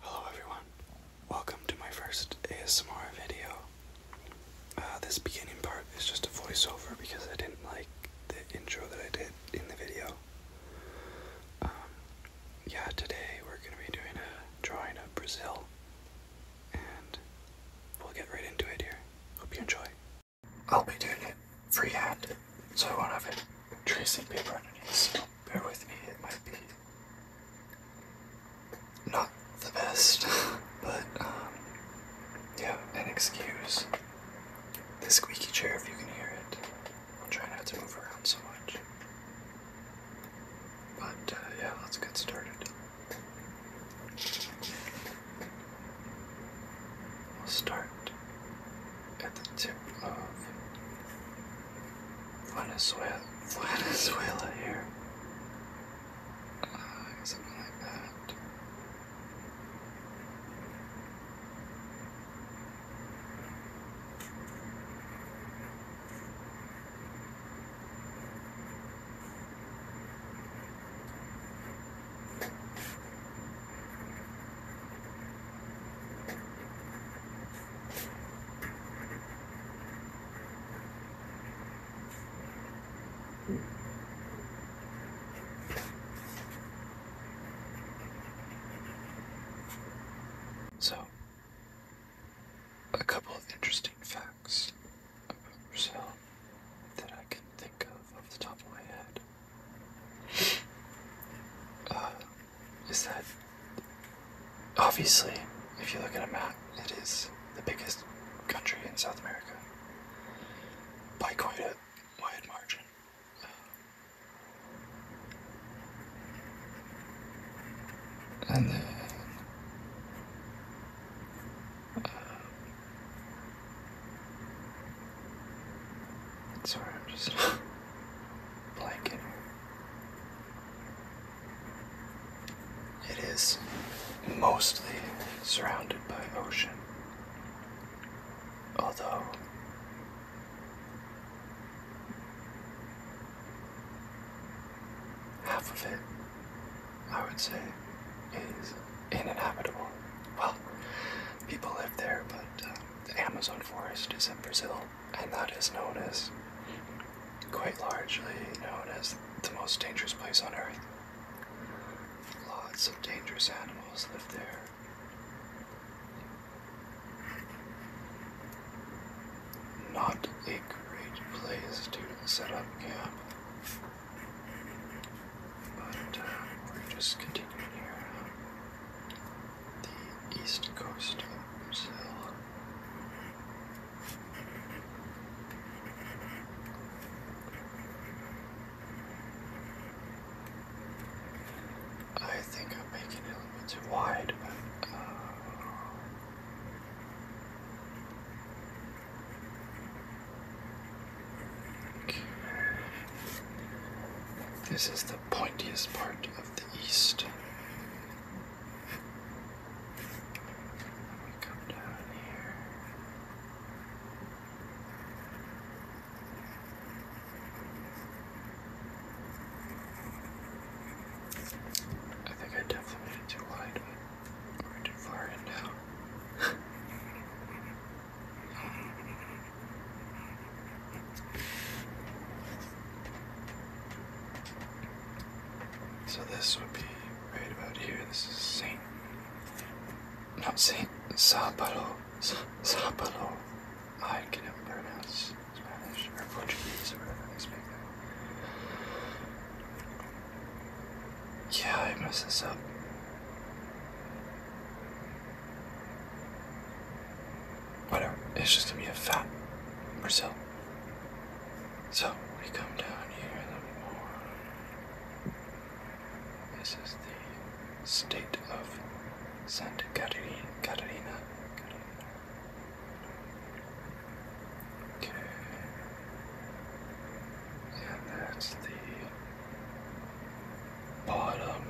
Hello everyone, welcome to my first ASMR video. Uh, this beginning part is just a voiceover because I didn't like the intro that I did in the video. Um, yeah, today we're going to be doing a drawing of Brazil, and we'll get right into it here. Hope you enjoy. I'll be doing it freehand, so I won't have it tracing paper underneath, so bear with me, it might be not the best, but um, yeah, an excuse. This squeaky chair, if you can hear it. I'll try not to move around so much. But uh, yeah, let's get started. We'll start at the tip of Venezuela, Venezuela here. Uh, ah, something like that. So, a couple of interesting facts about yourself that I can think of off the top of my head. Uh, is that obviously, if you look at a map, it is the biggest country in South America by quite a wide margin. And um, sorry, I'm just blanket. It is mostly surrounded by ocean, although half of it, I would say, is uninhabitable. Well, people live there, but uh, the Amazon forest is in Brazil, and that is known as, quite largely known as, the most dangerous place on earth. Lots of dangerous animals live there. Not a great place to set up camp. But uh, we're just continuing here the east coast of I think I'm making it a little too wide, uh, okay. This is the pointiest part of the east. Let me come down here. I think I definitely made it too wide, but too far in now. So this would be right about here. This is Saint, not Saint, Sao Paulo, I can never pronounce Spanish or Portuguese or whatever they speak there. Yeah, I messed this up whatever. It's just gonna be a fat Brazil. So we come down here a little more. This is the state of Santa Catarina. Catarina. Okay. And that's the bottom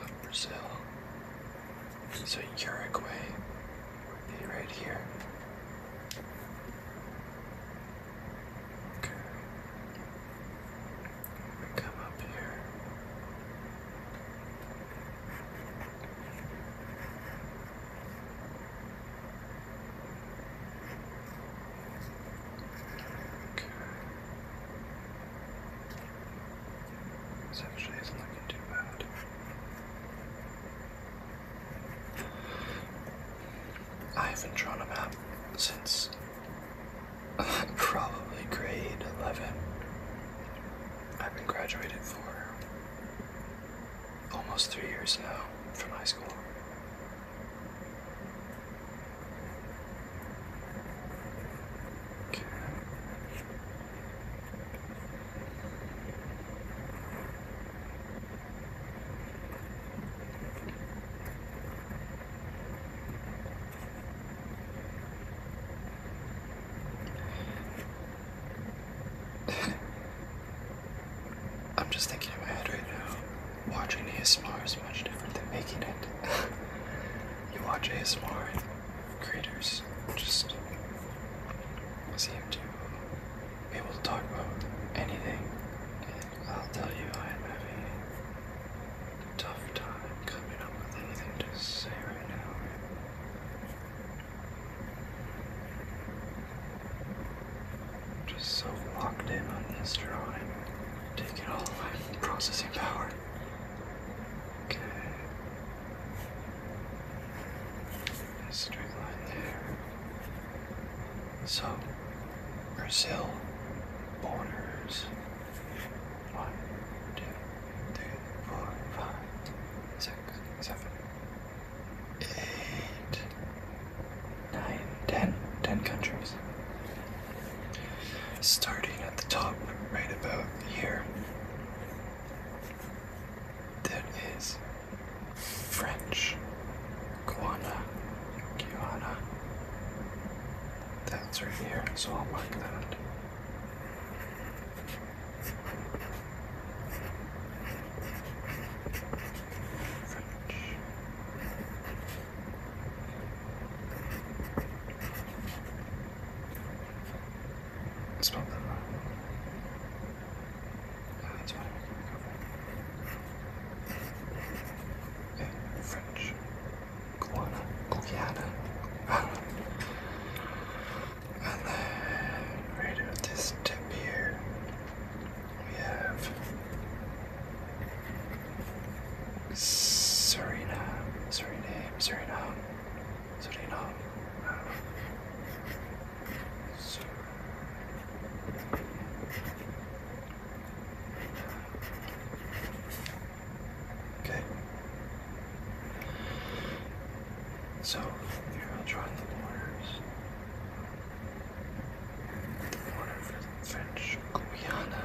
of Brazil. So Uruguay right here. Okay. come up here. Okay. This actually isn't looking too bad. I haven't drawn a map since probably grade 11. I've been graduated for almost three years now from high school. I'm just thinking in my head right now, watching ASMR is much different than making it. you watch ASMR and creators just seem to be able to talk about anything. And I'll tell you, I'm having a tough time coming up with anything to say right now. I'm just so locked in on this drawing, taking all my processing power. Okay. straight line there. So, Brazil borders. One, two, three, four, five, six, seven, eight, nine, ten. Ten countries. Starting at the top, right about here. That is French Guiana. guana. That's right here, so I'll mark that. French. Let's pop that on. Ah, that's what French. Guiana. Guiana. Ah. And then, right at this tip here, we have Suriname, Suriname, Suriname, Okay. So you're gonna draw the borders. The for the French Guiana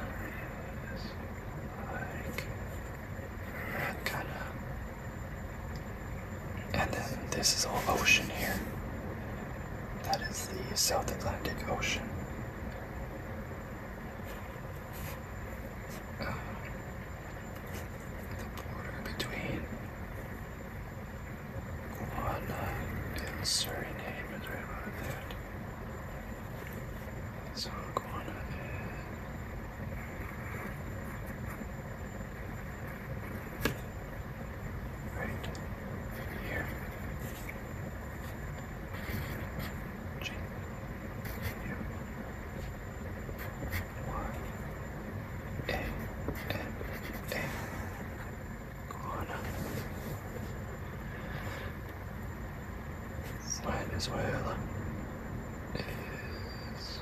is like that kind and then this is all ocean here. That is the South Atlantic Ocean. Uh, the border between Guana and Suriname is right about that. So Guana Right here. G. U. Y. A. N. A. Guana. Venezuela is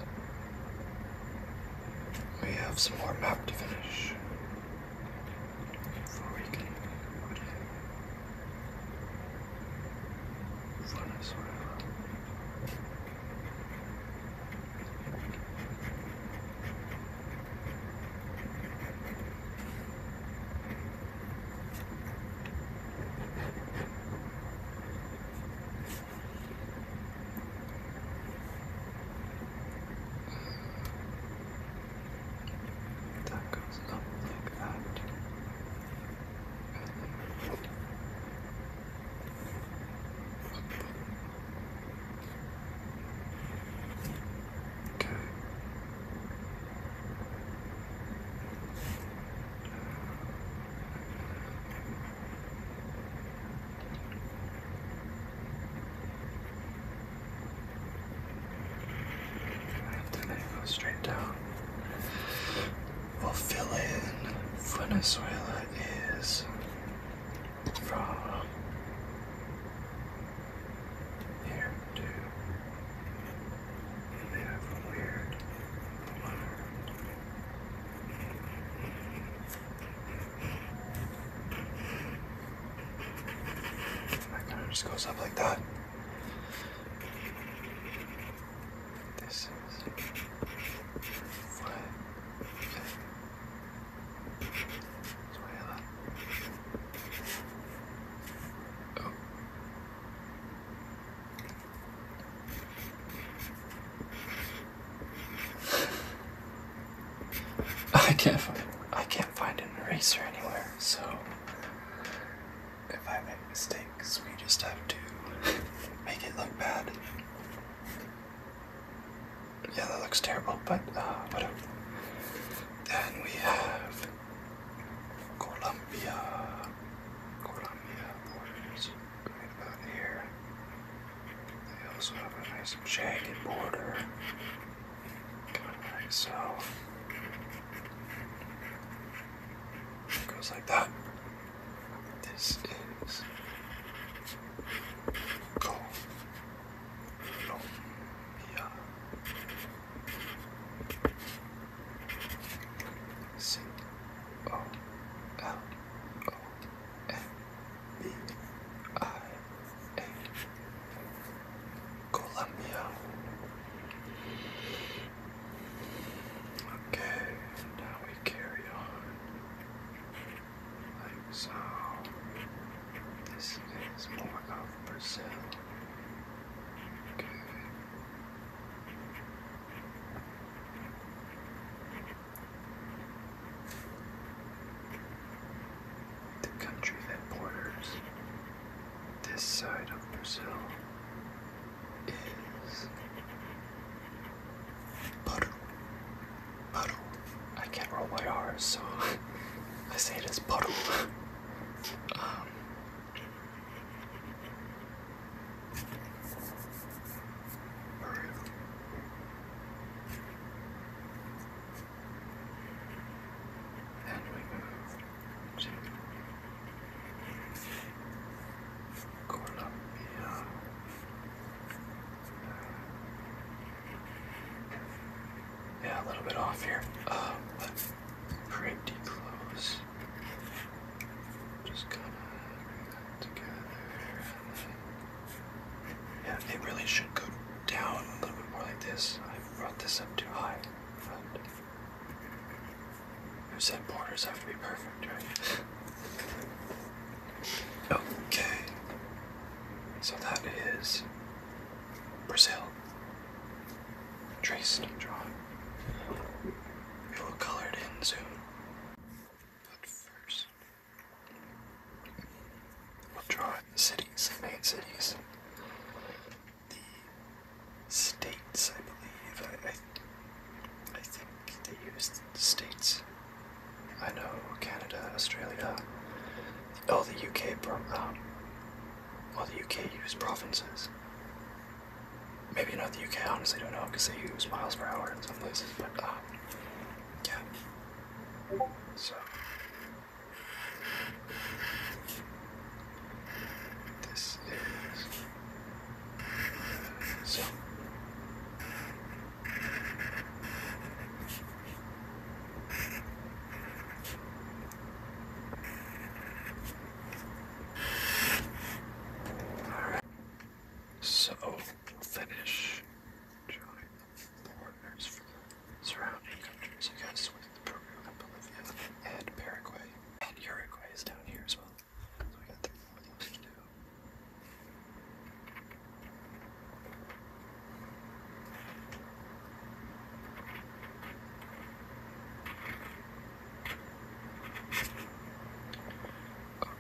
we have some more map to finish before we can fun as whatever. That goes up like that. Okay. And then it goes straight down. We'll fill in Venezuela is from here to they that kind of just goes up like that. This is what Oh. I can't find I can't find an eraser anywhere, so if I make mistakes, we just have to make it look bad. Yeah, that looks terrible, but uh, whatever. Then we have Colombia, Colombia right about here. They also have a nice jagged border, so. It goes like that. This is Colombia. C O L O F-B-I-H, Colombia. Okay, now we carry on like so. This is more of Brazil. Okay. The country that borders this side of Brazil is Peru. Peru. I can't roll my R, so I say it as Peru. um, then we move to Colombia. Yeah, a little bit off here, um, but pretty close. Just kind of yeah, it really should go down a little bit more like this. I brought this up too high. You said borders have to be perfect, right? okay. So that is Brazil. Traced, drawn. It will color it in soon. But first, we'll draw in the cities, the main cities, the states, I believe. I, I, think they use states. I know Canada, Australia, all the UK, um, the UK use provinces. Maybe not the UK, honestly don't know, because they use miles per hour in some places, but, uh, yeah. So. This is. So. All right. So finish join the partners from surrounding countries, I guess, with Peru and Bolivia and Paraguay. And Uruguay is down here as well. So we got three more things to do.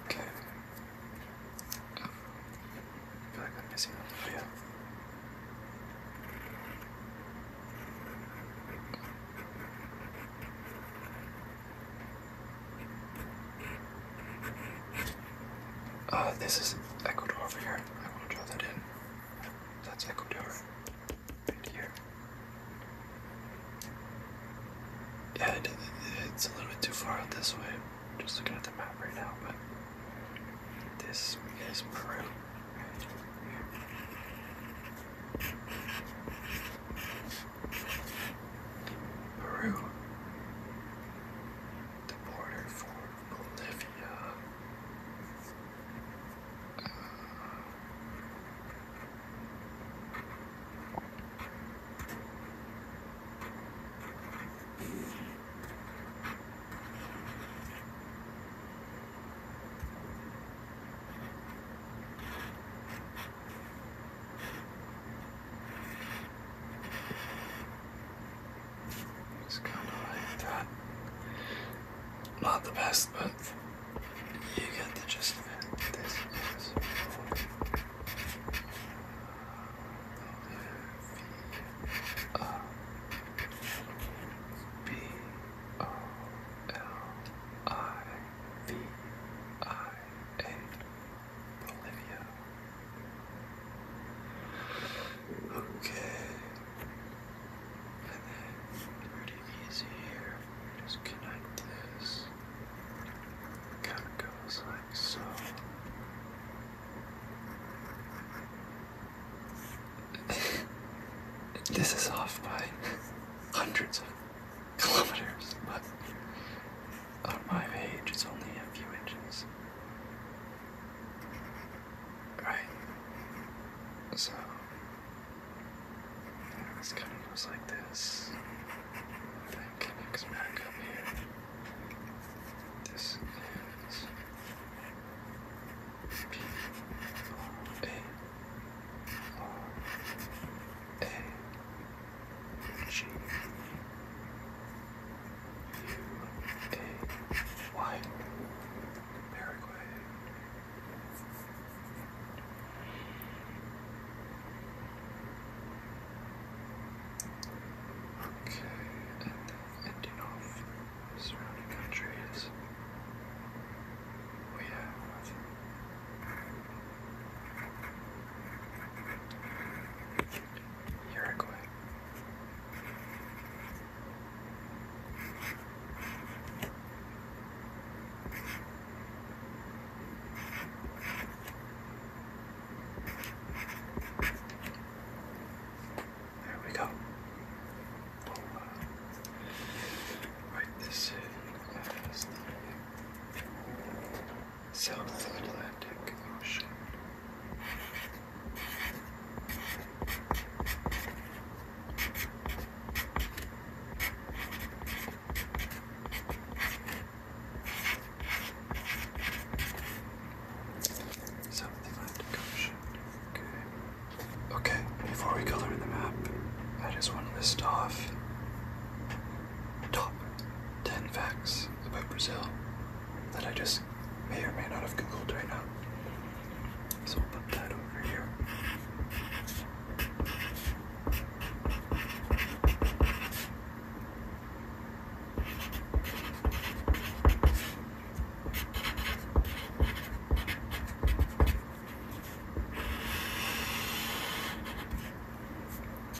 Okay. Oh. I feel like I'm missing a video. Uh, this is Ecuador over here. I want draw that in. That's Ecuador. And here. Yeah, it's a little bit too far out this way. just looking at the map right now, but this is Peru. Peru. The border for Bolivia. Uh, it's kind of like that. Not the best, but you get the gist of it. B-O-L-I-V-I-A, Bolivia. Okay, and then pretty easy here. Just connect this kind of goes like so. this is off by hundreds of kilometers, but on my page it's only a few inches. Right? So, this kind of goes like this connects back This is P R A R A G U A Y Paraguay. Okay, ending off surrounding countries, we oh, have Uruguay. There we go. write this in South Atlantic Ocean. Something left to Okay. Okay, before we color in the map, I just want to list off top 10 facts about Brazil that I just may or may not have googled right now. So we'll put that over here.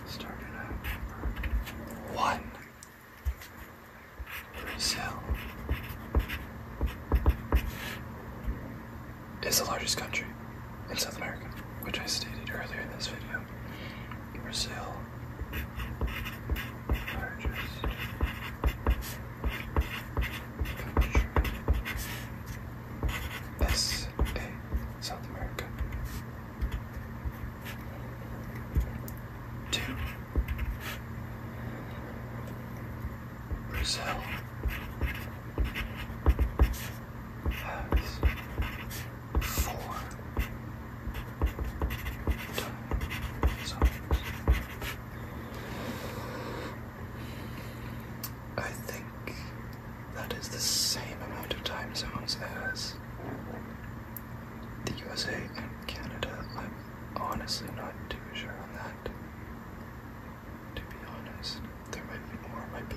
Started at one Brazil is the largest country in South America, which I stated earlier in this video. Brazil, largest S A South America. Two. Brazil four, times. I think that is the same amount of time zones as the USA and Canada. I'm honestly not too sure on that. To be honest, there might be more, might be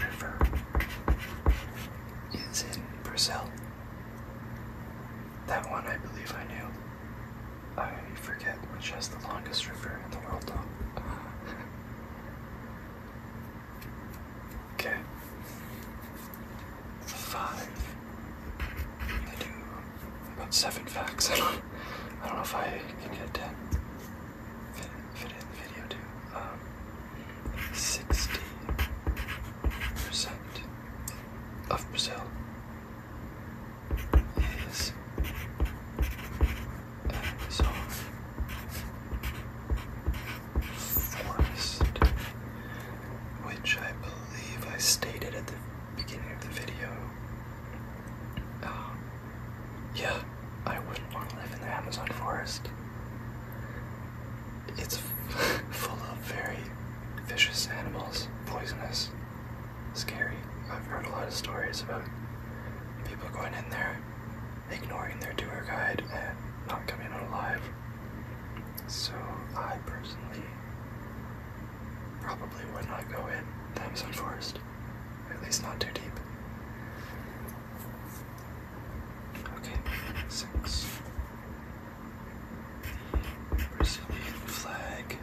River is in Brazil. That one I believe I knew. I forget which has the longest river in the world though. okay. Five. I do about seven facts. I don't know if I can get ten fit, in the video too. 60% um, of Brazil is Amazon uh, forest, which I believe I stated at the beginning of the video um, yeah, I wouldn't want to live in the Amazon forest. It's full of very vicious animals, poisonous, scary. I've heard a lot of stories about people going in there, ignoring their tour guide, and not coming out alive. So I personally probably would not go in the Amazon forest. At least not too deep. Okay, six. Brazilian flag.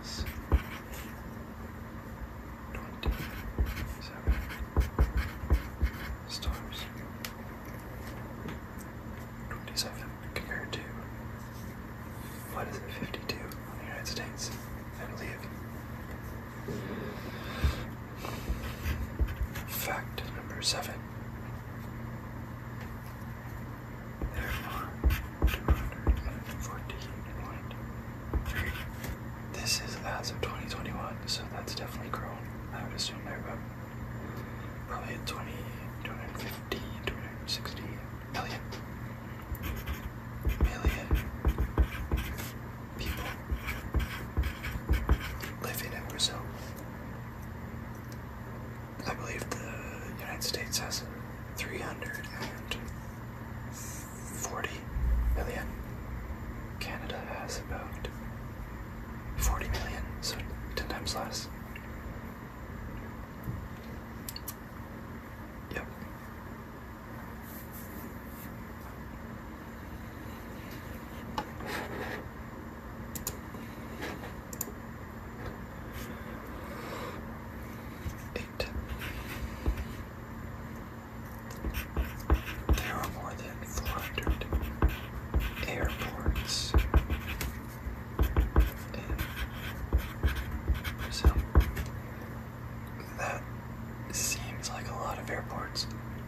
Has twenty seven stars. 27 compared to what is it 52 in the United States, I believe. Fact number seven. There 214 This is as of 2021, so that's definitely grown. I would assume they're about probably at 20, 250, 260 million, million people living in Brazil. I believe the United States has 340 million. Canada has about 40 million, so 10 times less. Yep. Eight. There are more than 400 airports Brazil. That seems like a lot of airports.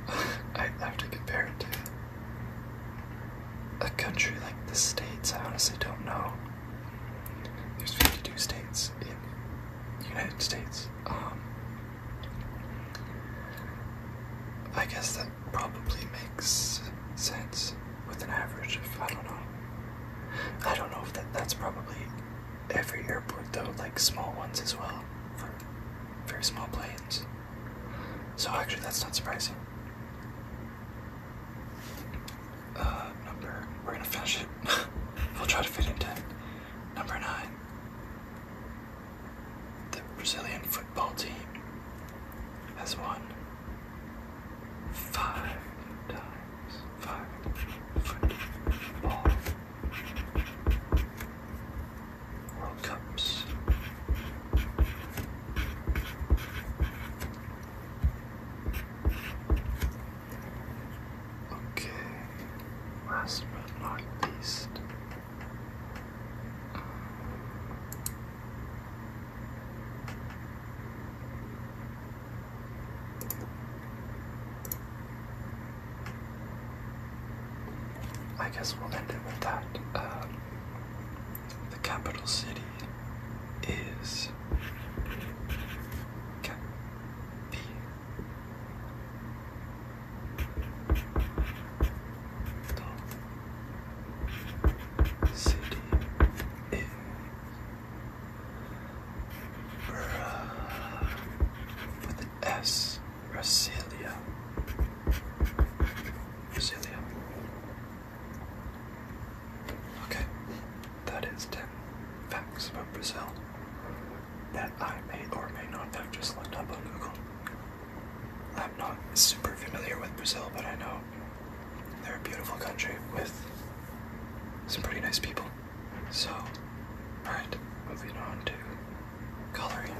I have to compare it to a country like the States. I honestly don't know. There's 52 states in United States. Um, I guess that probably makes sense with an average of, I don't know. I don't know if that, that's probably every airport though, like small ones as well, for very small planes. So actually that's not surprising. Uh, number, we're gonna finish it. we'll try to fit in 10. Number 9 the Brazilian football team has won five times. Five football World Cups. Okay, last but not least, I guess we'll end it with that. Um, the capital city is Cap the city is with an S, Brasilia. Brasilia. Okay, that is 10 facts about Brazil that I may or may not have just looked up on Google. I'm not super familiar with Brazil, but I know they're a beautiful country with some pretty nice people. So, alright, moving on to coloring.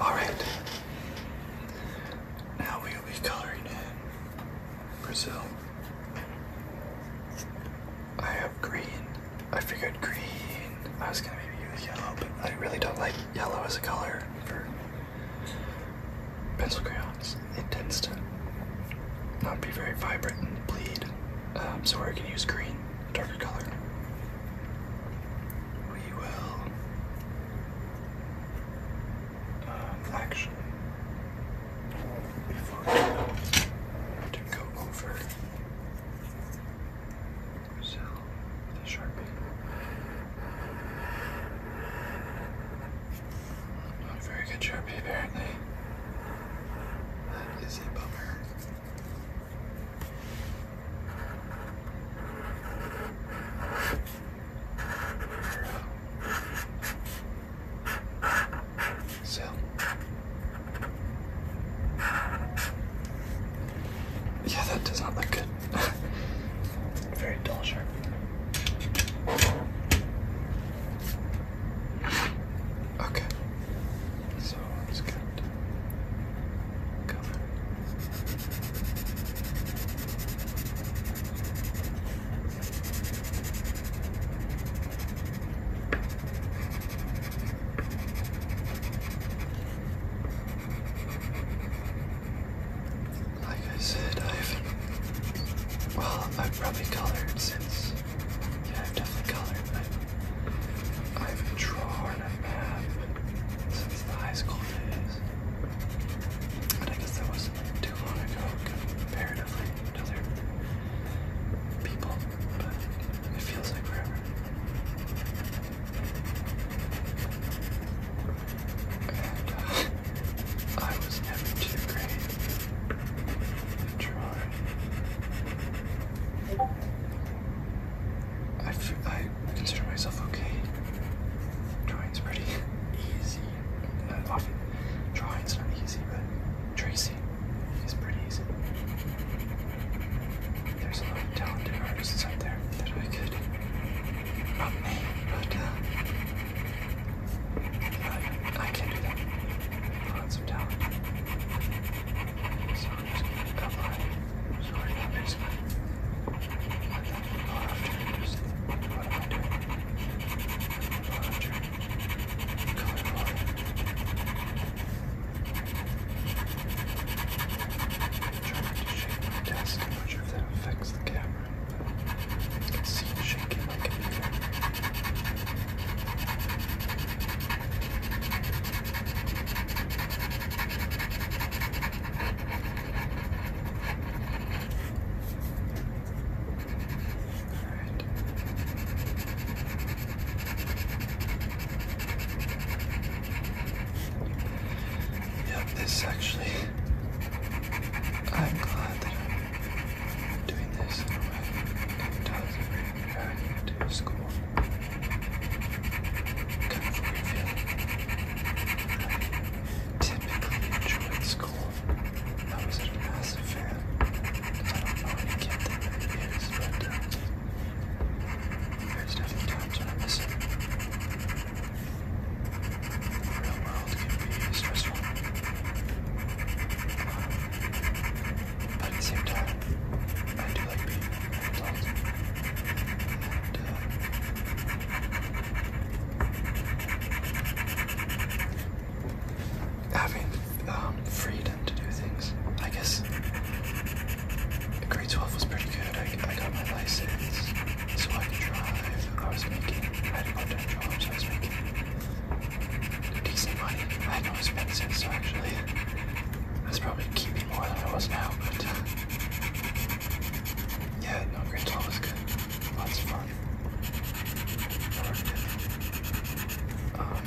Alright, now we will be coloring in Brazil. I have green I figured green. I was gonna maybe use yellow, but I really don't like yellow as a color for pencil crayons. It tends to not be very vibrant and bleed. Um, so we're gonna use green, a darker color. We will um, actually before to go over the sharpie. very good sharpie apparently. That is a bummer. So, Yeah, that does not look good. Very dull sharp. Okay. So let's cover. Like I said, I've well, I've probably colored since. Yeah, I've definitely colored, but I've drawn a map since the high school days. And I guess that wasn't too long ago comparatively to other people, but it feels like forever. And I was never too great to try. I, I consider myself okay. Drawing's pretty easy. Not uh, often drawing's not easy, but tracing is pretty easy. There's a lot of talented artists out there that I could not me, but uh, I, can't do that. Lots of talent. So I'm just gonna come by, sort it out just what am I doing? trying to shake my desk. I'm not sure if that affects the camera. But I can see it shaking my computer. Alright. Yep, this actually. I'm glad that I'm doing this in a way it doesn't bring back to school. Kind feeling. typically enjoyed school. I was a massive fan. I don't know any kid there's definitely times when I miss it. The real world can be stressful. But at the same time, I do like being an adult. And, uh, having um, freedom to do things, I guess. Grade 12 was pretty good. I, got my license so I could drive. I was making, I had a part time job, was making decent money. I had no expenses, so actually, I was probably keeping more than I was now, but uh, yeah, no, grade 12 was good. Lots of fun. Um,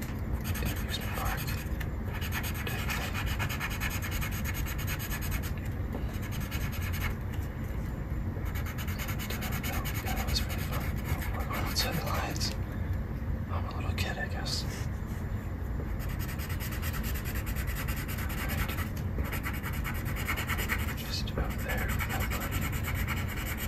that was really fun. We're going outside the lines. I'm a little kid, I guess. Just about there, that Okay,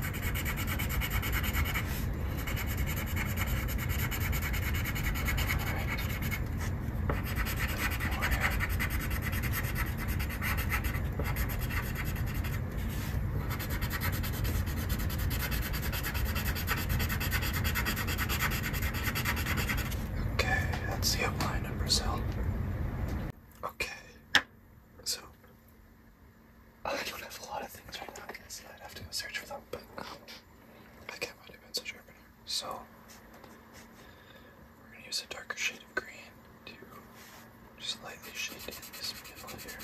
that's the outline of Brazil. Okay, so I don't have a lot of things right now, I guess. I'd have to go search for them, but I can't find a pencil sharpener. So, we're going to use a darker shade of green to just lightly shade in this middle here.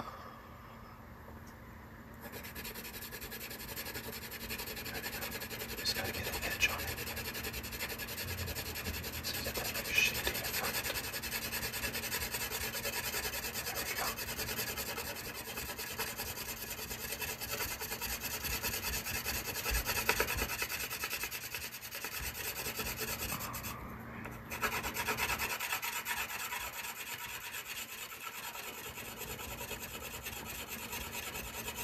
Um, just gotta get an edge on it. So get shading in front.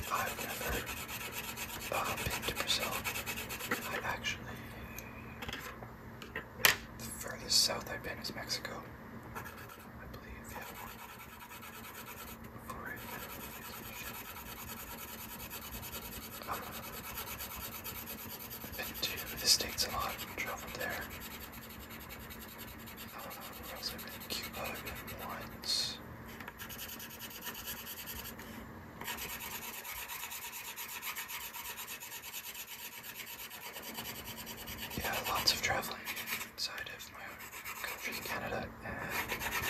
I've never uh, been to Brazil. I actually the furthest south I've been is Mexico. I believe, Before I have been to the States a lot traveled there. I don't know where else I've been. Cuba, I've been once. Yeah, lots of traveling inside of my country, Canada, and the United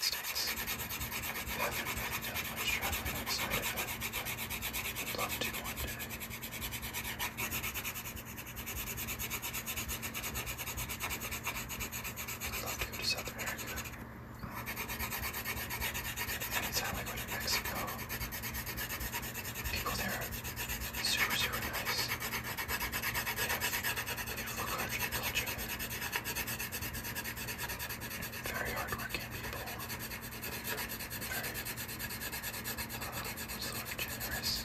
States. I haven't really traveling outside of it, love to one love to go to South America anytime I go to Mexico, people there are super, super nice. They have beautiful country culture. Very hardworking people. Very uh, sort of generous.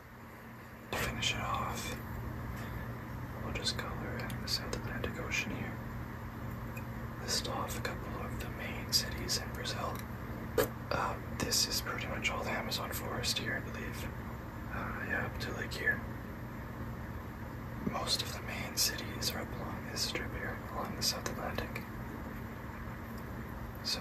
To finish it off, we'll just color in the South Atlantic Ocean here. List off a couple of the main cities in Brazil. Uh, this is pretty much all the Amazon forest here, I believe. Uh, yeah, up to Lake here. Most of the main cities are up along this strip here, along the South Atlantic. So,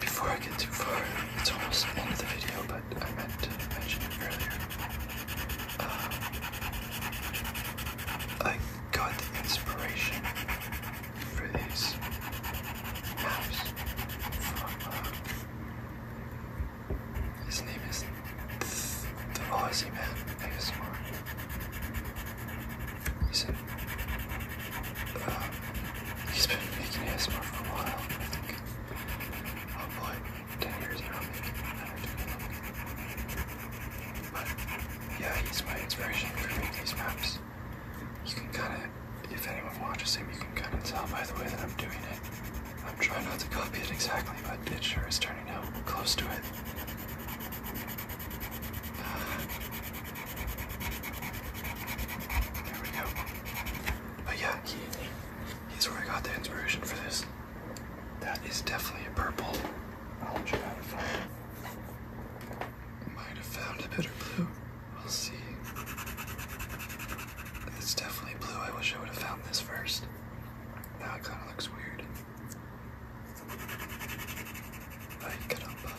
before I get too far, it's almost the end of the video, but I meant to mention it earlier. Uh, I got the inspiration for these maps uh, his name is the, the Aussie Man ASMR. He's an he's been making ASMR for a while. I think, oh boy, 10 years now, maybe, I don't know. But yeah, he's my inspiration for making these maps. You can kind of, if anyone watches him, you can kind of tell by the way that I'm doing it. I'm trying not to copy it exactly, but it sure is turning out close to it. There we go. But yeah, he, he's where I got the inspiration for this. That is definitely a purple. I'll try to find. Might have found a better blue. We'll see. It's definitely blue. I wish I would have found this first. Now it kind of looks weird. I get up.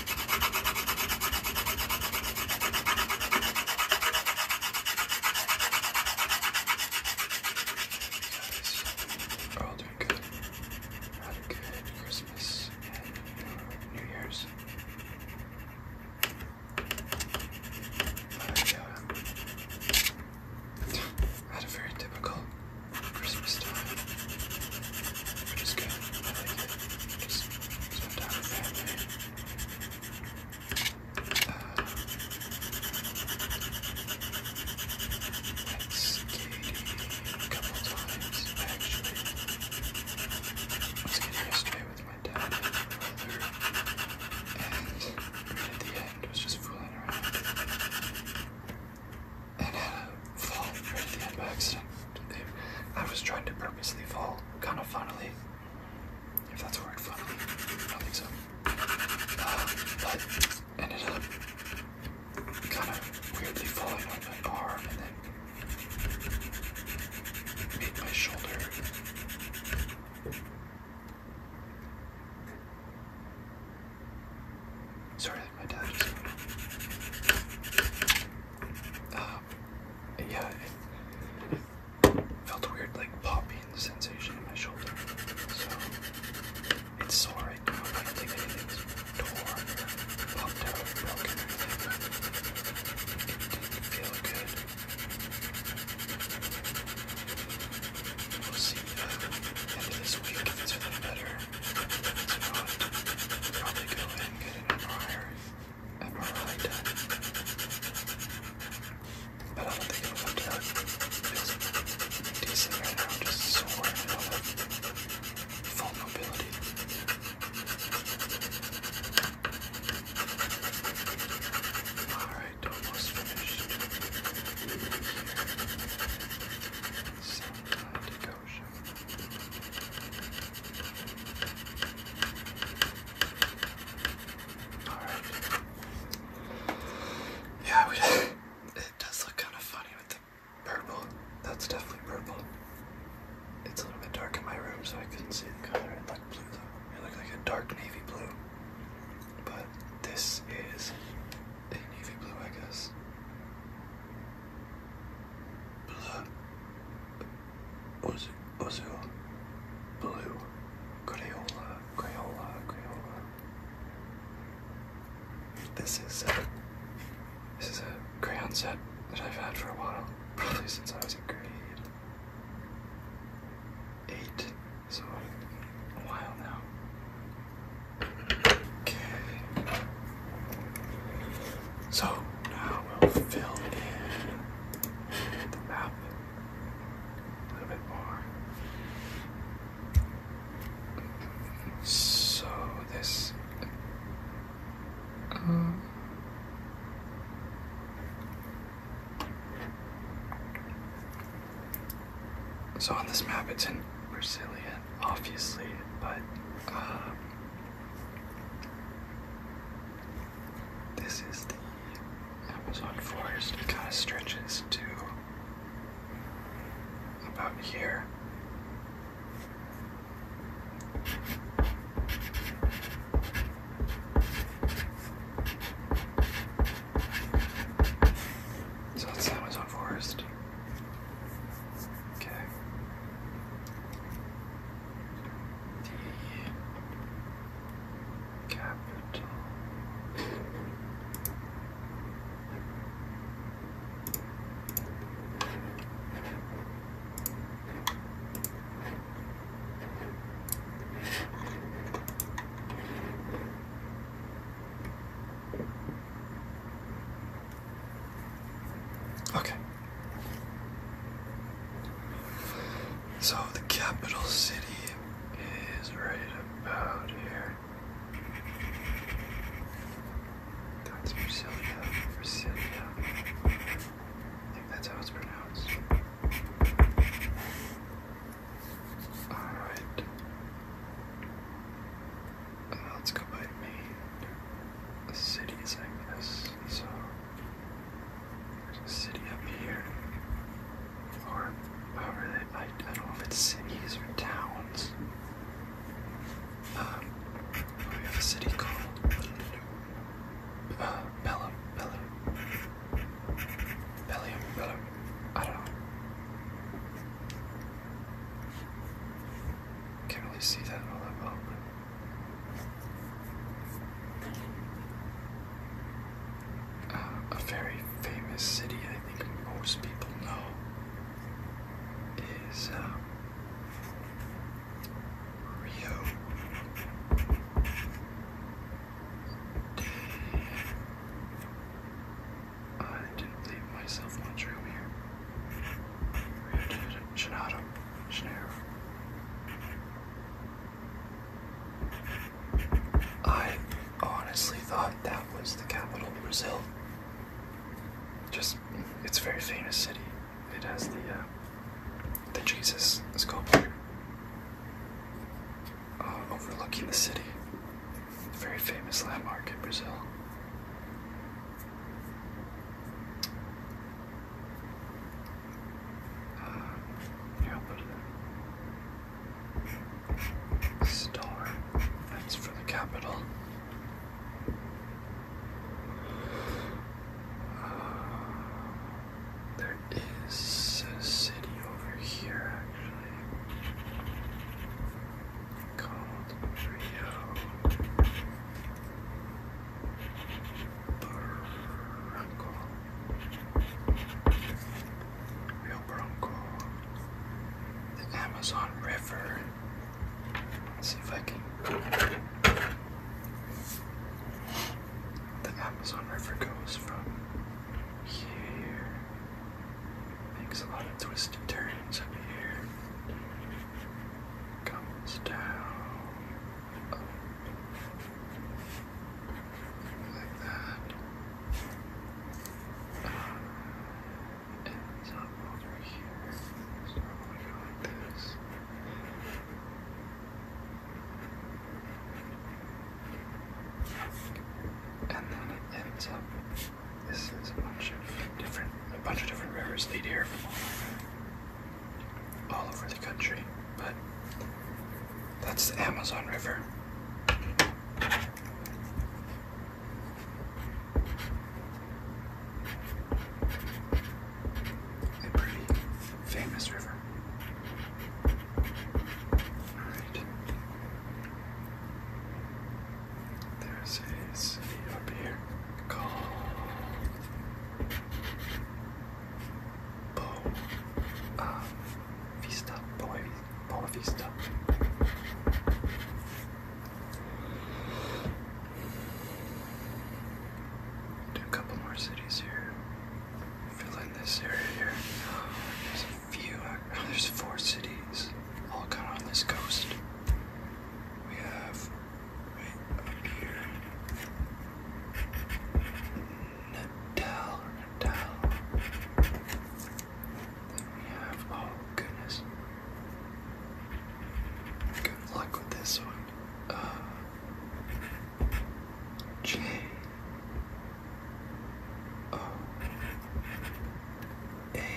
We're all doing good. I had a good Christmas and New Year's. I uh, had a very typical Christmas time, which is good. Just spend time with family. Let's a couple times actually. I was getting yesterday with my dad and at the end uh, was just fooling around and had a fall right at the end by accident. I was trying to purposely fall kind of funnily. If that's a word, fluffy. I don't think so. Uh, but ended up kind of weirdly falling on my arm and then made my shoulder. Sorry, my dad yeah, it felt weird, like, popping sensation in my shoulder. So, it's sore right now. I don't torn popped out broken It did good. We'll see uh, end of this week if it's better. probably go ahead and get an MRI abnormally But I don't think it was to that. It was right now, just so worried about that Alright, almost finished. Some kind of yeah, it does look kind of funny with the purple. That's definitely purple. It's a little bit dark in my room, so I couldn't see the color. It looked blue, though. It looked like a dark navy blue. But this is a navy blue, I guess. Blue. Ozil, Ozil, Blue, Crayola, Crayola, Crayola. This is a, this is a crayon set that I've had for a while, probably since I was in grade eight, so a while now. Okay. So now we'll fill in the map a little bit more. So this. Um, so on this map, it's in Brazilian, obviously, but um, this is the Amazon forest. It kind of stretches to about here. So that's Amazon forest. Okay the capital. Okay. So the capital city is right about here. That's Brasilia, Brasilia. I think that's how it's pronounced. Alright. let's go by main. The city is so there's a city up here. Or however they I, I don't know if it's cities or towns. Um, we have a city called uh, Bellum, Bellum, Bellium, Bellum. I don't know. Can't really see that all that well a very famous city I think most people know is uh, Rio I didn't leave myself much here. Rio de Janeiro. Janeiro. I honestly thought that was the capital of Brazil. Just, it's a very famous city. It has the uh, the Jesus sculpture uh, overlooking the city. very famous landmark in Brazil. Star. That's for the capital. Uh, there is a city over here, actually, called Rio. Bronco. Bronco. The Amazon River. see if I can. The Amazon River goes from here. Makes a lot of twists and turns up here. Comes down like that. Um, and up over here. So I'm like this. And then it ends up. This is a bunch of different, a bunch of different rivers lead here from all over all over the country, but that's the Amazon River. A pretty famous river. Alright. There's a city up here called Boa Vista, Boa, Boa Vista. Do a couple more cities here. Fill in this area here. There's a few. there's four cities, all kind of on this coast. We have right up here. Natal Then we have, oh goodness. Good luck with this one. Uh, J. O. Oh. A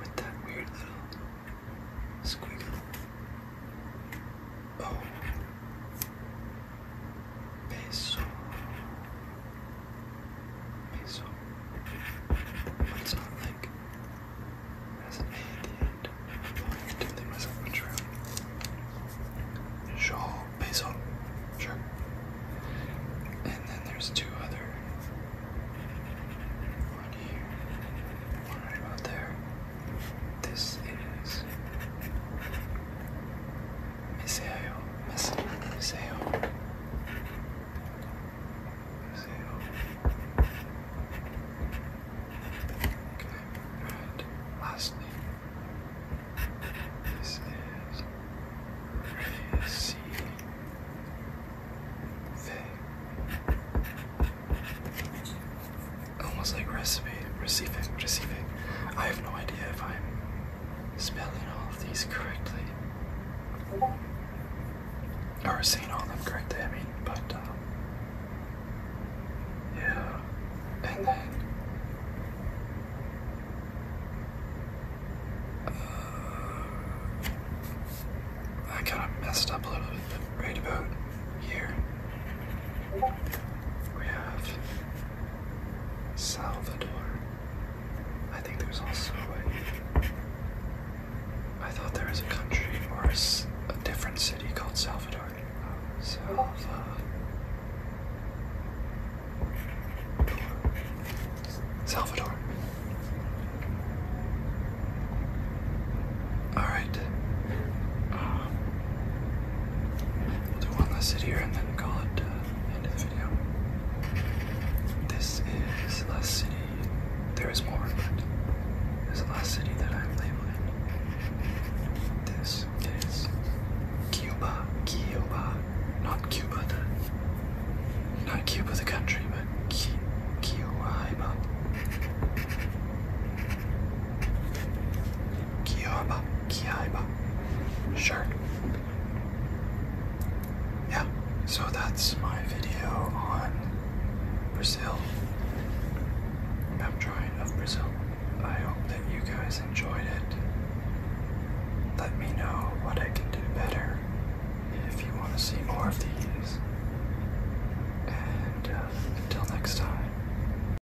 with that weird little squiggle. O. Oh. Peso. Peso. But it's like as an A I did think myself a true. Shaw peso. Sure. And then there's two other. One here. One right about there. This is Museo, Museo, Museo, Museo. Okay, and lastly, this is Racy Faye almost like recipe, receiving, receiving. I have no idea if I'm spelling all of these correctly, or seeing all of them correctly. I mean, but um, yeah, and then. Uh, I kind of messed up a little bit right about here. We have Salvador. I think there's also a. I thought there was a country or a, different city called Salvador. Salvador. All right. Um, We'll do one last sit and then call it uh, end of the video. This is the last city. There is more, but this is the last city that I'm labeling. This is Cuba. Cuba. Not Cuba, the, not Cuba the country, but Cuba. Cuba. Kiaiba. Sure. Yeah, so that's my video on Brazil. I'm of Brazil. I hope that you guys enjoyed it. Let me know what I can do better if you want to see more of these. And uh, until next time.